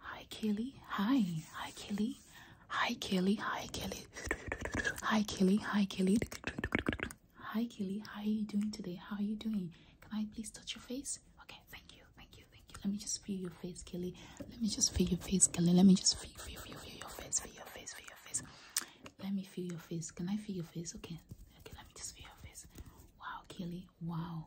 Hi, Kelly. Hi. Hi, Kelly. Hi, Kelly. Hi, Kelly. Hi, Kelly. Hi, Kelly. Hi, Kelly. How are you doing today? How are you doing? Can I please touch your face? Okay, thank you. Thank you. Thank you. Let me just feel your face, Kelly. Let me just feel your face, Kelly. Let me just feel, feel, feel, feel your face, feel your face, feel your face. Let me feel your face. Can I feel your face? Okay. Okay, let me just feel your face. Wow, Kelly. Wow.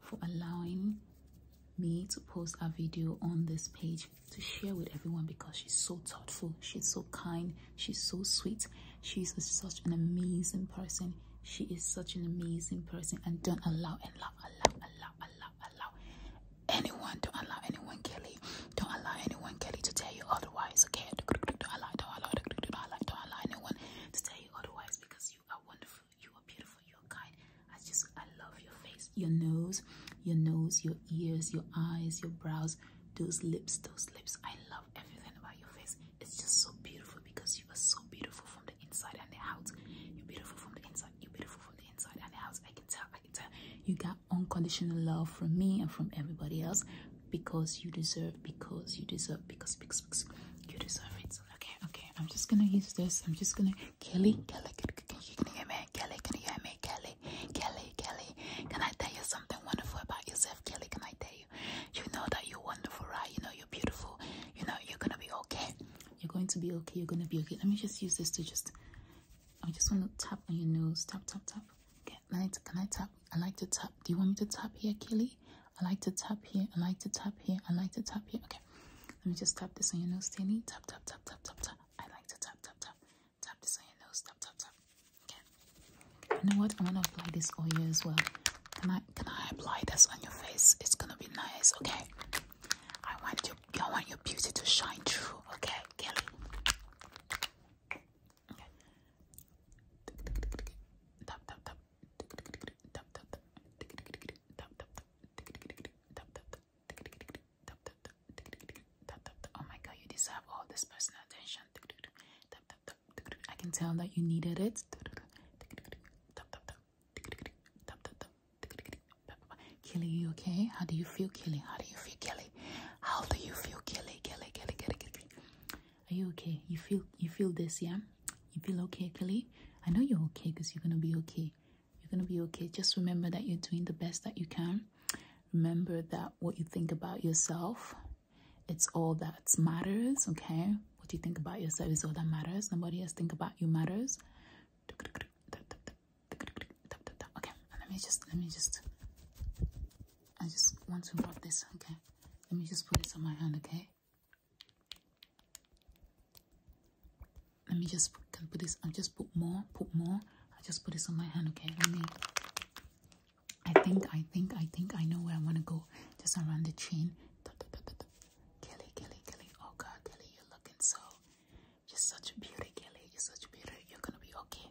for allowing me to post a video on this page to share with everyone because she's so thoughtful, she's so kind, she's so sweet, she's such an amazing person. She is such an amazing person, and don't allow, allow, allow, allow, allow, allow anyone, do allow anyone, Kelly, don't allow anyone, Kelly, to tell you otherwise, okay? Don't allow, don't allow, don't allow, don't allow anyone to tell you otherwise because you are wonderful. You are beautiful. You are kind. I just, I love your face, your nose, your nose, your ears, your eyes, your brows, those lips, those lips. I love everything about your face. It's just so beautiful because you are so beautiful from the inside and the out. You're beautiful from the inside. You're beautiful from the inside and the out. I can tell. I can tell. You got unconditional love from me and from everybody else because you deserve, because you deserve, because, because, because you deserve it. Okay, okay. I'm just gonna use this. I'm just gonna Kelly, Kelly, can you can hear me? Kelly, can you hear me? Kelly, Kelly, Kelly. Can I tell you something wonderful about yourself, Kelly? Can I tell you? You know that you're wonderful, right? You know you're beautiful. You know you're gonna be okay. You're going to be okay. You're gonna be okay. Let me just use this to just. I just want to tap on your nose. Tap, tap, tap. Okay. Can I, can I tap? I like to tap. Do you want me to tap here, Kelly? I like to tap here. I like to tap here. I like to tap here. Okay, let me just tap this on your nose, Danny. Tap, tap, tap, tap, tap, tap. I like to tap, tap, tap. Tap this on your nose. Tap, tap, tap. Okay. You know what? I want to apply this oil as well. Can I? Can I apply this on your face? It's gonna be nice. Okay. I want your, I want your beauty to shine through. Okay, Kelly. Oh my god, you deserve all this personal attention. I can tell that you needed it. Killy, you okay? How do you feel, Killy? How do you feel, Killy? How do you feel, Killy? Killy, Killy, Killy, Killy. Are you okay? You feel you feel this, yeah? You feel okay, Kelly? I know you're okay because you're gonna be okay. You're gonna be okay. Just remember that you're doing the best that you can. Remember that what you think about yourself, it's all that matters, okay? What you think about yourself is all that matters. Nobody else think about you matters. Okay, let me just let me just I just want to rub this, okay? Let me just put this on my hand, okay? Let me just can put this. I just put more, put more. I just put this on my hand, okay? Let me. I think, I think, I think I know where I want to go. Just around the chin. Da, da, da, da, da. Kelly, Kelly, Kelly. Oh God, Kelly, you're looking so. You're such a beauty, Kelly. You're such a beauty. You're gonna be okay.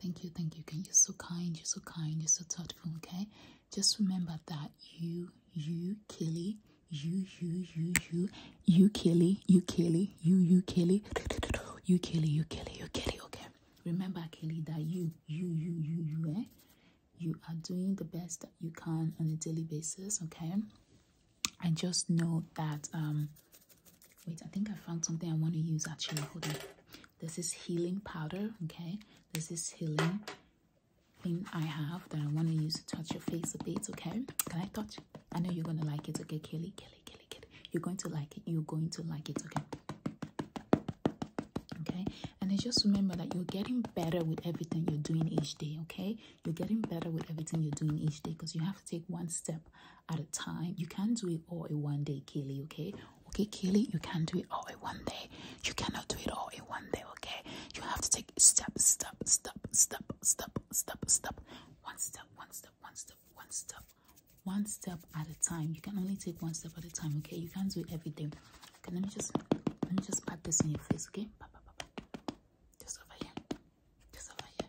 Thank you, thank you, Ken. You're so kind, you're so kind, you're so thoughtful, okay? Just remember that you, you, Kelly, you, you, you, you, you, Kelly, you, Kelly, you, you, Kelly, you, Kelly, you, Kelly, okay? Remember, Kelly, that you, you, you, you, you, You are doing the best that you can on a daily basis, okay? I just know that um, Wait, I think I found something I want to use actually. Hold on. This is healing powder, okay? This is healing thing I have that I want to use to touch your face a bit, okay? Can I touch? I know you're going to like it, okay, Kelly? Kelly, Kelly, Kelly. You're going to like it. You're going to like it, okay? Okay? And just remember that you're getting better with everything you're doing each day, okay? You're getting better with everything you're doing each day because you have to take one step at a time. You can't do it all in one day, Kaylee, okay? Okay, Kaylee, you can't do it all in one day. You cannot do it all in one day, okay? You have to take step, step, step, step, step, step, step. One step, one step, one step, one step. One step at a time. You can only take one step at a time, okay? You can't do everything. Okay, let me just let me just pat this on your face, okay? Just over here. Just over here.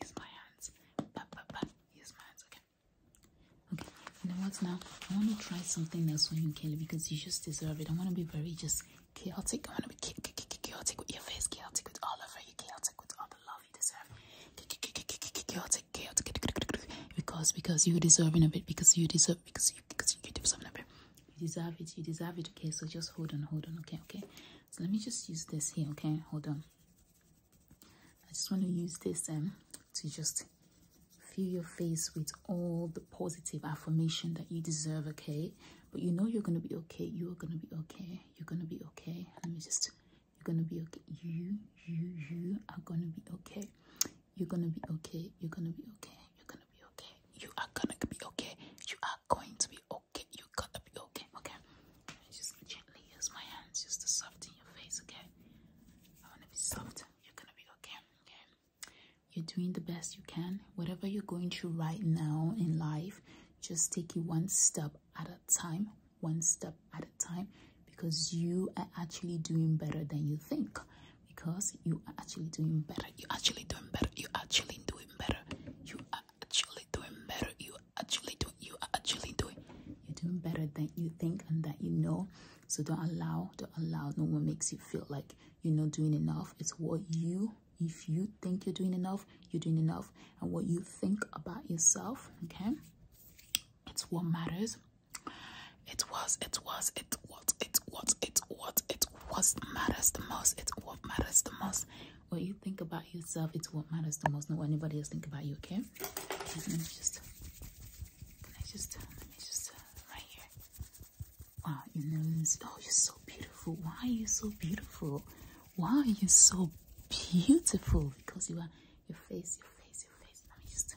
Use my hands. Use my hands. Okay. Okay. You know what? Now I want to try something else on you, Kelly, because you just deserve it. I want to be very just chaotic. I want to be chaotic with your face, chaotic with all over you, chaotic with all the love you deserve. Chaotic, chaotic, because because you're deserving of it. Because you deserve. Because you because you deserve something of it you deserve it you deserve it okay so just hold on hold on okay okay so let me just use this here okay hold on i just want to use this um to just fill your face with all the positive affirmation that you deserve okay but you know you're going to be okay you are going to be okay you're going to be okay let me just you're going to be okay you you you are going to be okay you're going to be okay you're going to be okay you're gonna be okay. You are gonna be okay. You are going to be okay. You're gonna be okay. Okay. I just gently use my hands just to soften your face. Okay. I wanna be soft. You're gonna be okay. Okay. You're doing the best you can. Whatever you're going through right now in life, just take it one step at a time. One step at a time because you are actually doing better than you think because you are actually doing better. You're actually doing better. You're actually doing better. You are actually doing better. You are actually doing. You are actually doing. You're doing better than you think and that you know. So don't allow. Don't allow. No one makes you feel like you're not doing enough. It's what you. If you think you're doing enough, you're doing enough. And what you think about yourself, okay, it's what matters. It was, it was, it what, it what, it what, it was matters the most. It's what matters the most. What you think about yourself, it's what matters the most, not what anybody else think about you, okay? Let me just, can I just, let me just, uh, right here. Wow, your nose, oh, you're so beautiful. Why are you so beautiful? Why are you so beautiful? Because you are, your face, your face, your face. Let me just,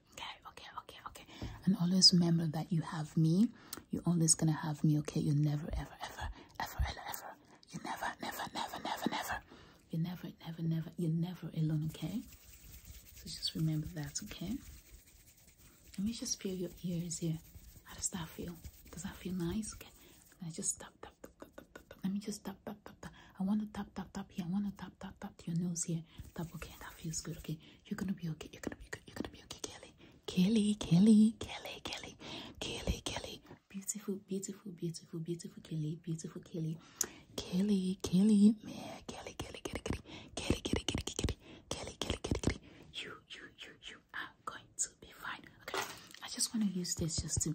okay okay okay okay and always remember that you have me you're always gonna have me okay you never ever ever ever ever ever you never never never never never you never never never you're never alone okay so just remember that okay let me just feel your ears here how does that feel does that feel nice okay and i just tap tap tap tap tap let me just tap, tap, tap, tap. I want to tap, tap, tap here. I want to tap, tap, tap your nose here. Tap, okay. That feels good, okay. You're gonna be okay. You're gonna be good. You're gonna be okay, Kelly. Kelly, Kelly, Kelly, Kelly, Kelly, Kelly. Beautiful, beautiful, beautiful, beautiful Kelly, beautiful Kelly. Kelly, Kelly, yeah, Kelly, Kelly, Kelly, Kelly, Kelly, Kelly, Kelly, Kelly, Kelly, Kelly, Kelly, Kelly. You, you, you, you are going to be fine. Okay. I just want to use this just to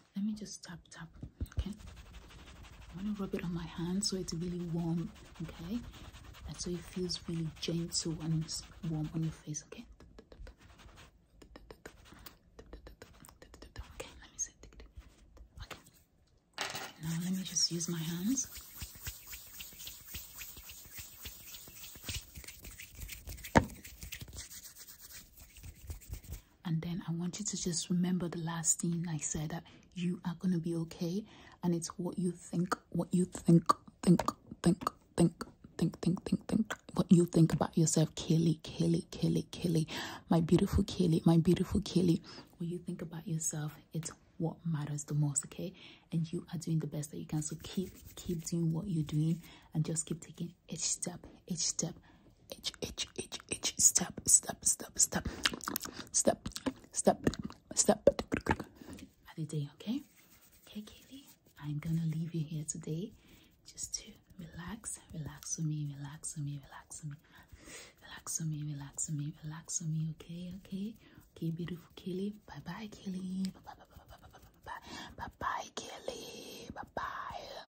let me just tap tap okay i'm gonna rub it on my hand so it's really warm okay and so it feels really gentle and warm on your face okay okay let me see okay now let me just use my hands and then I want you to just remember the last thing I said that you are going to be okay. And it's what you think, what you think, think, think, think, think, think, think, think. What you think about yourself, Kelly, Kelly, Kelly, Kelly, My beautiful Kelly, my beautiful Kelly. What you think about yourself, it's what matters the most, okay? And you are doing the best that you can. So keep, keep doing what you're doing and just keep taking each step, each step, itch, itch, itch, itch. Step, step, step, step, step, step, step. Other day, okay? Okay, Kaylee, I'm gonna leave you here today just to relax, relax with me, relax with me, relax with me, relax with me, relax with me, relax with me, okay, okay, okay, beautiful Kaylee. Bye bye, Kaylee. Bye bye, bye bye, bye bye, bye bye, bye bye, Kaylee. Bye bye.